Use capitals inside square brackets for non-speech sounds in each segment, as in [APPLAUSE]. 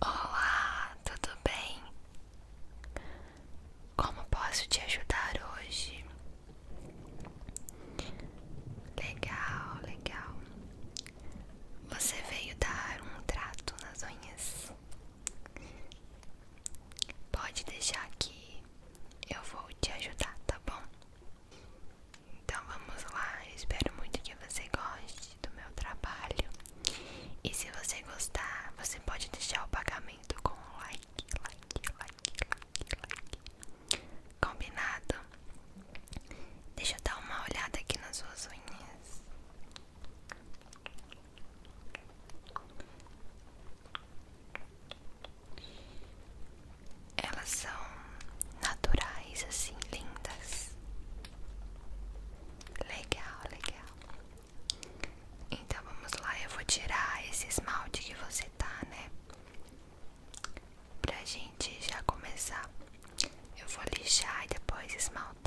Olá, tudo bem? Como posso te ajudar hoje? Legal, legal. Você veio dar um trato nas unhas. Pode deixar que eu vou te ajudar, tá bom? Então vamos lá, espero muito que você goste do meu trabalho. E se você gostar, você pode deixar o pagamento com like, Combinado? Deixa eu dar uma olhada aqui nas suas unhas. Elas são naturais, assim, lindas. Legal, legal. Então vamos lá, eu vou tirar esse esmalte que você tá, né? Pra gente já começar. Eu vou lixar e depois esmaltar.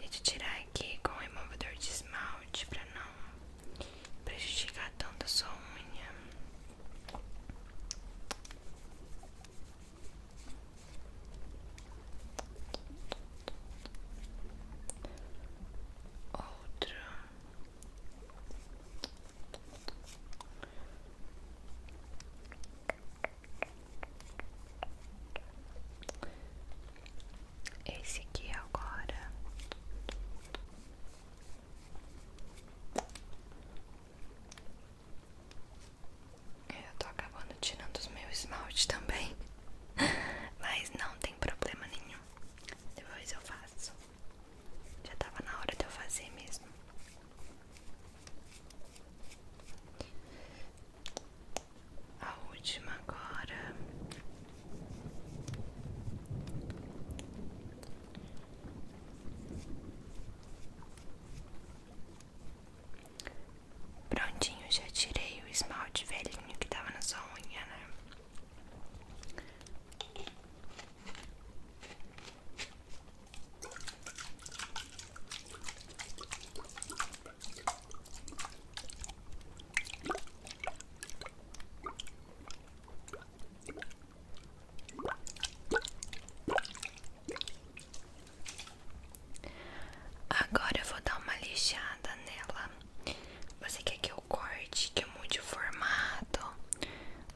e te tirar aqui com o removedor de esmalte para não prejudicar tanto a sua unha. Outro esse aqui agora. Eu tô acabando tirando os meus esmalte também, [LAUGHS] mas não tem problema nenhum. Depois eu faço. Já tava na hora de eu fazer mesmo a última agora prontinho já tirei o esmalte velhinho que tava na sua unha né Agora eu vou dar uma lixada nela. Você quer que eu corte, que eu mude o formato?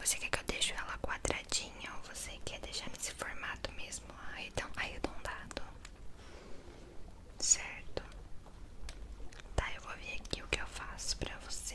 Você quer que eu deixe ela quadradinha ou você quer deixar nesse formato mesmo arredondado? Ah, então, Certo? Tá, eu vou vir aqui o que eu faço pra você.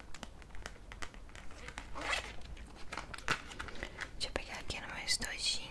Deixa eu pegar aqui no meu estojinho.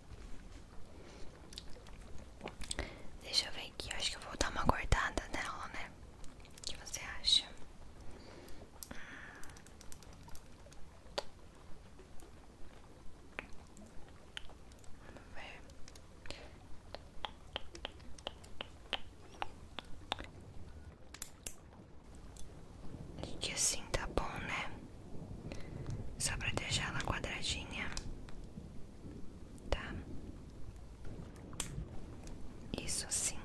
Deixa eu ver aqui, eu acho que eu vou dar uma cortada nela, né? O que você acha? Vamos ver que assim tá bom, né? Só pra deixar ela quadradinha. Tá? Isso sim.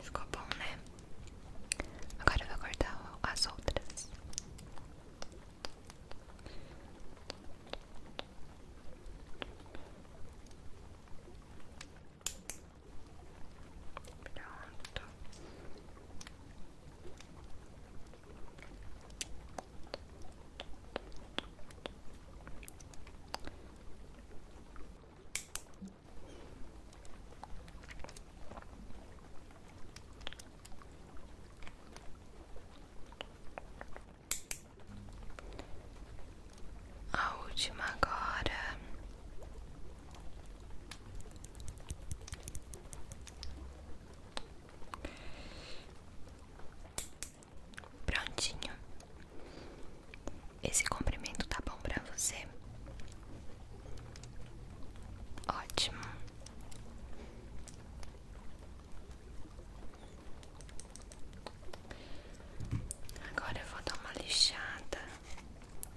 Ficou bom, né? Agora eu vou cortar as outras. Pronto. A última agora Prontinho. Esse comprimento tá bom pra você? Ótimo. Agora eu vou dar uma lixada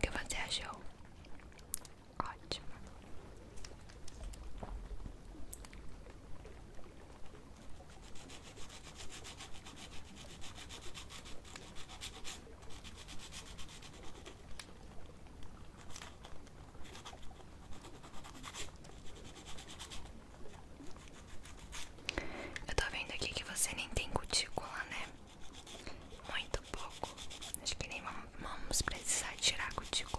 que você achou? Ótimo. Eu tô vendo aqui que você nem tem cutícula, né? Muito pouco. Acho que nem vamos precisar tirar cutícula.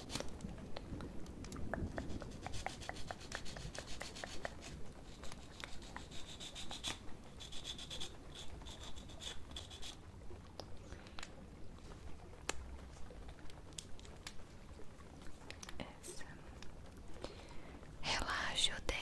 Essa. Relaxa o dedo.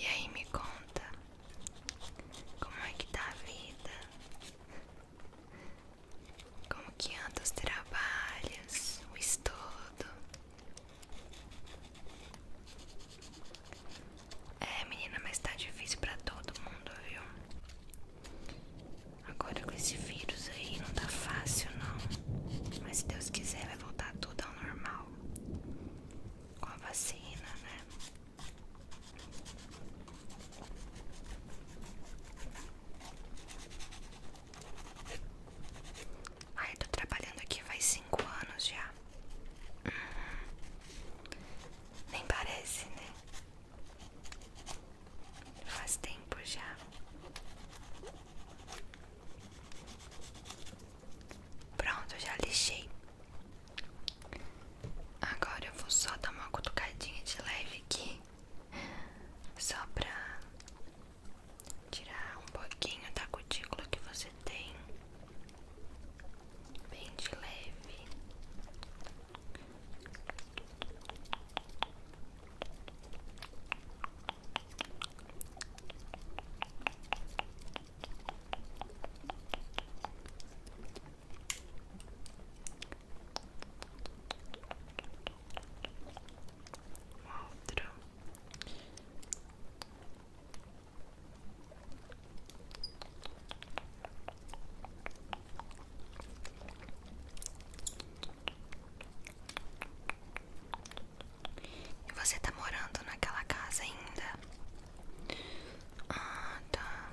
E aí me conta como é que tá a vida? Como que andam os trabalhos, o estudo? É, menina, mas tá difícil pra todo mundo, viu? Agora com esse vírus aí não tá fácil, não. Mas se Deus quiser, vai voltar tudo ao normal. Com a vacina, né? Ai, eu tô trabalhando aqui faz cinco anos já. Uhum. Nem parece, né? Faz tempo já. Pronto, já lixei. Agora eu vou só dar uma cutucadinha de leve aqui, só pra tirar um pouquinho da cutícula que você tem, bem de leve. Uma E você está morando naquela casa ainda? Ah, tá.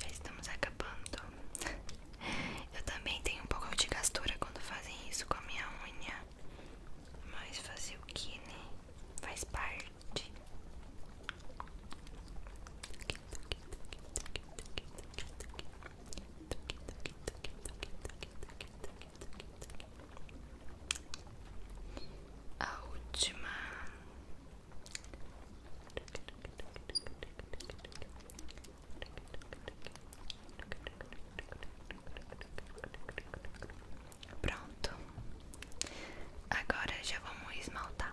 Já estamos acabando. [LAUGHS] Eu também tenho um pouco de gastura quando fazem isso com a minha unha. Mas fazer o que, né? Faz parte. A última Pronto, agora já vamos esmaltar.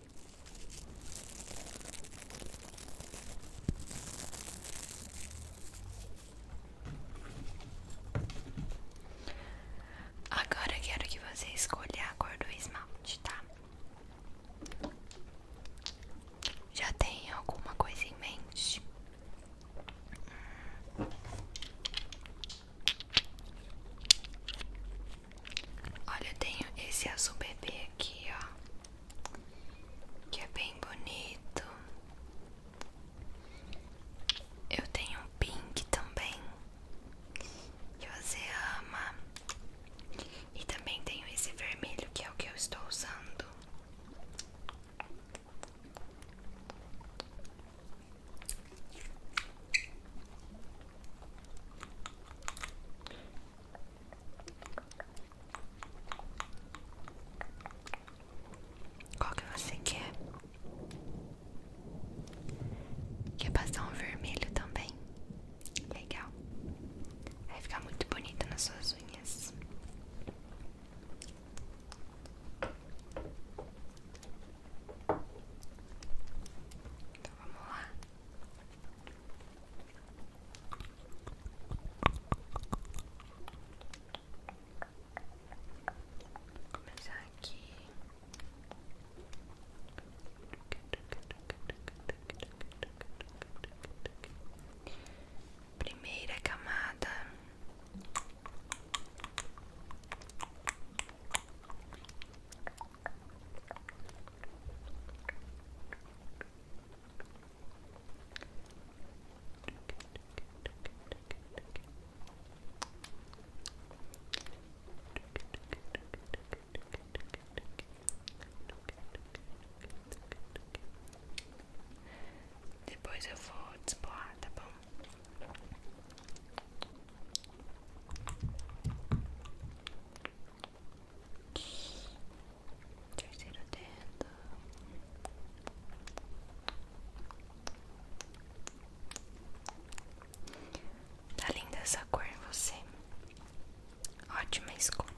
Agora quero que você escolha a cor do esmalte, tá? Já tem alguma coisa em mente? Olha, eu tenho esse azul bebê aqui, ó, que é bem bonito. Eu tenho um pink também, que você ama. E também tenho esse vermelho, que é o que eu estou usando. Qual que você quer? Quer passar um vermelho também? Legal. Vai ficar muito bonita nas suas unhas. Então, vamos lá. começar aqui. Primeira camada. Depois eu vou desbolar, tá bom? Terceiro dedo. Tá linda essa cor em você. Ótima escolha.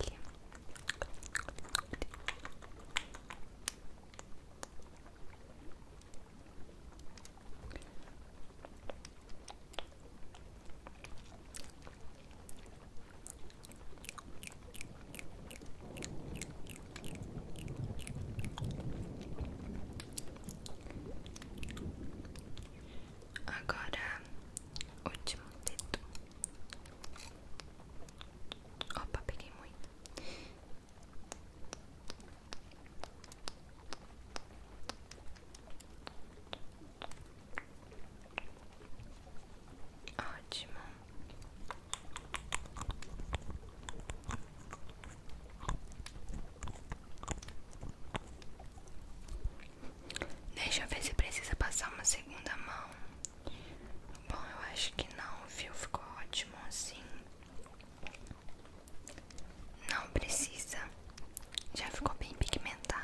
Agora, último dedo. Opa, peguei muito. Ótimo. Deixa eu ver se precisa passar uma segunda mão. Bom, eu acho que não, viu? Ficou ótimo assim. Não precisa, já ficou bem pigmentado.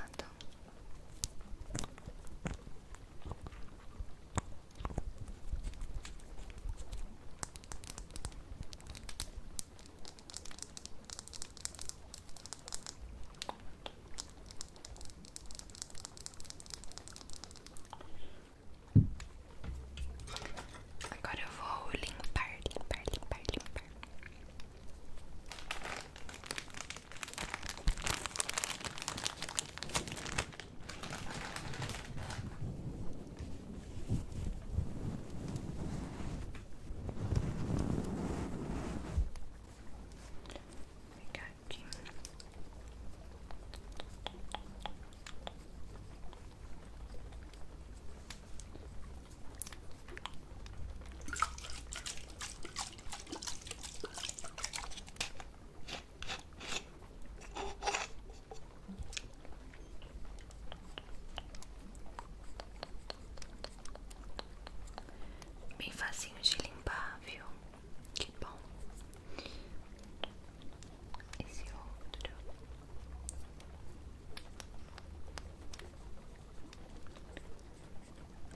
Agora eu vou limpar, limpar, limpar, limpar. Vou pegar aqui. Bem facinho de limpar, viu? Que bom. Esse outro.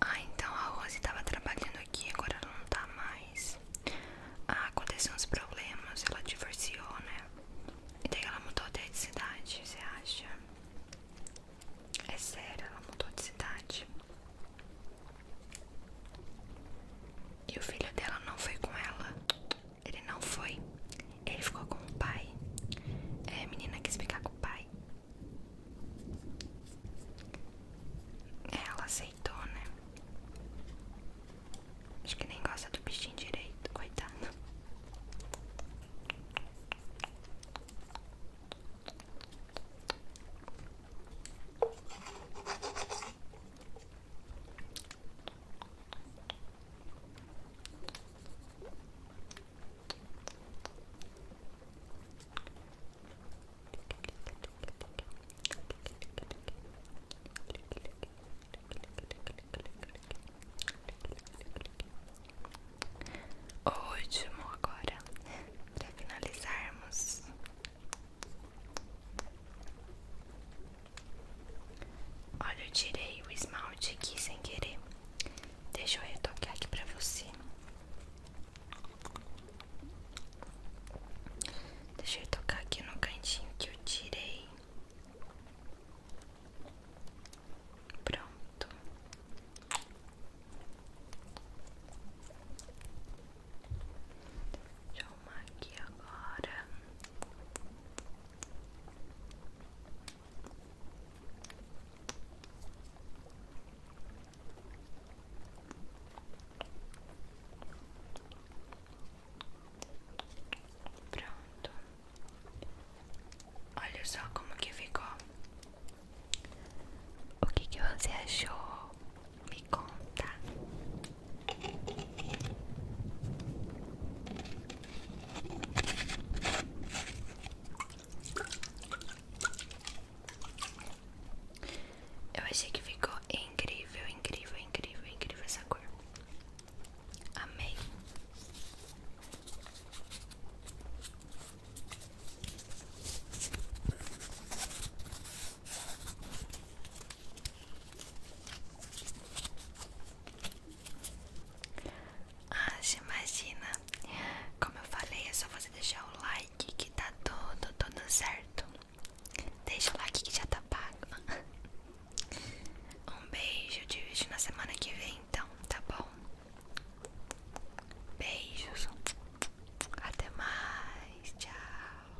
Ah, então a Rose estava trabalhando aqui, agora ela não tá mais. Ah, aconteceu uns problemas, ela divorciou, né? E daí ela mudou de cidade, você acha? É sério, ela mudou de cidade. E o filho dela não foi com ela. Ele não foi. Ele ficou com o pai. É, a menina quis ficar com o pai. Ela aceitou, né? Acho que nem gosta do bichinho direito, coitado. O último agora, para finalizarmos. Olha, eu tirei o esmalte aqui sem querer. Deixa eu retocar aqui pra você. Deixa eu tocar aqui no cantinho que eu tirei. Pronto. Deixa eu arrumar aqui agora. Pronto. Olha só como que ficou. O que que você achou? Me conta. Eu achei que ficou incrível, incrível, incrível, incrível essa cor. Amei. Ah, Acha, imagina Como eu falei, é só você deixar o like Que tá tudo, tudo certo Deixa o like que já tá pago Um beijo Te vejo na semana que vem Então, tá bom? Beijos Até mais, tchau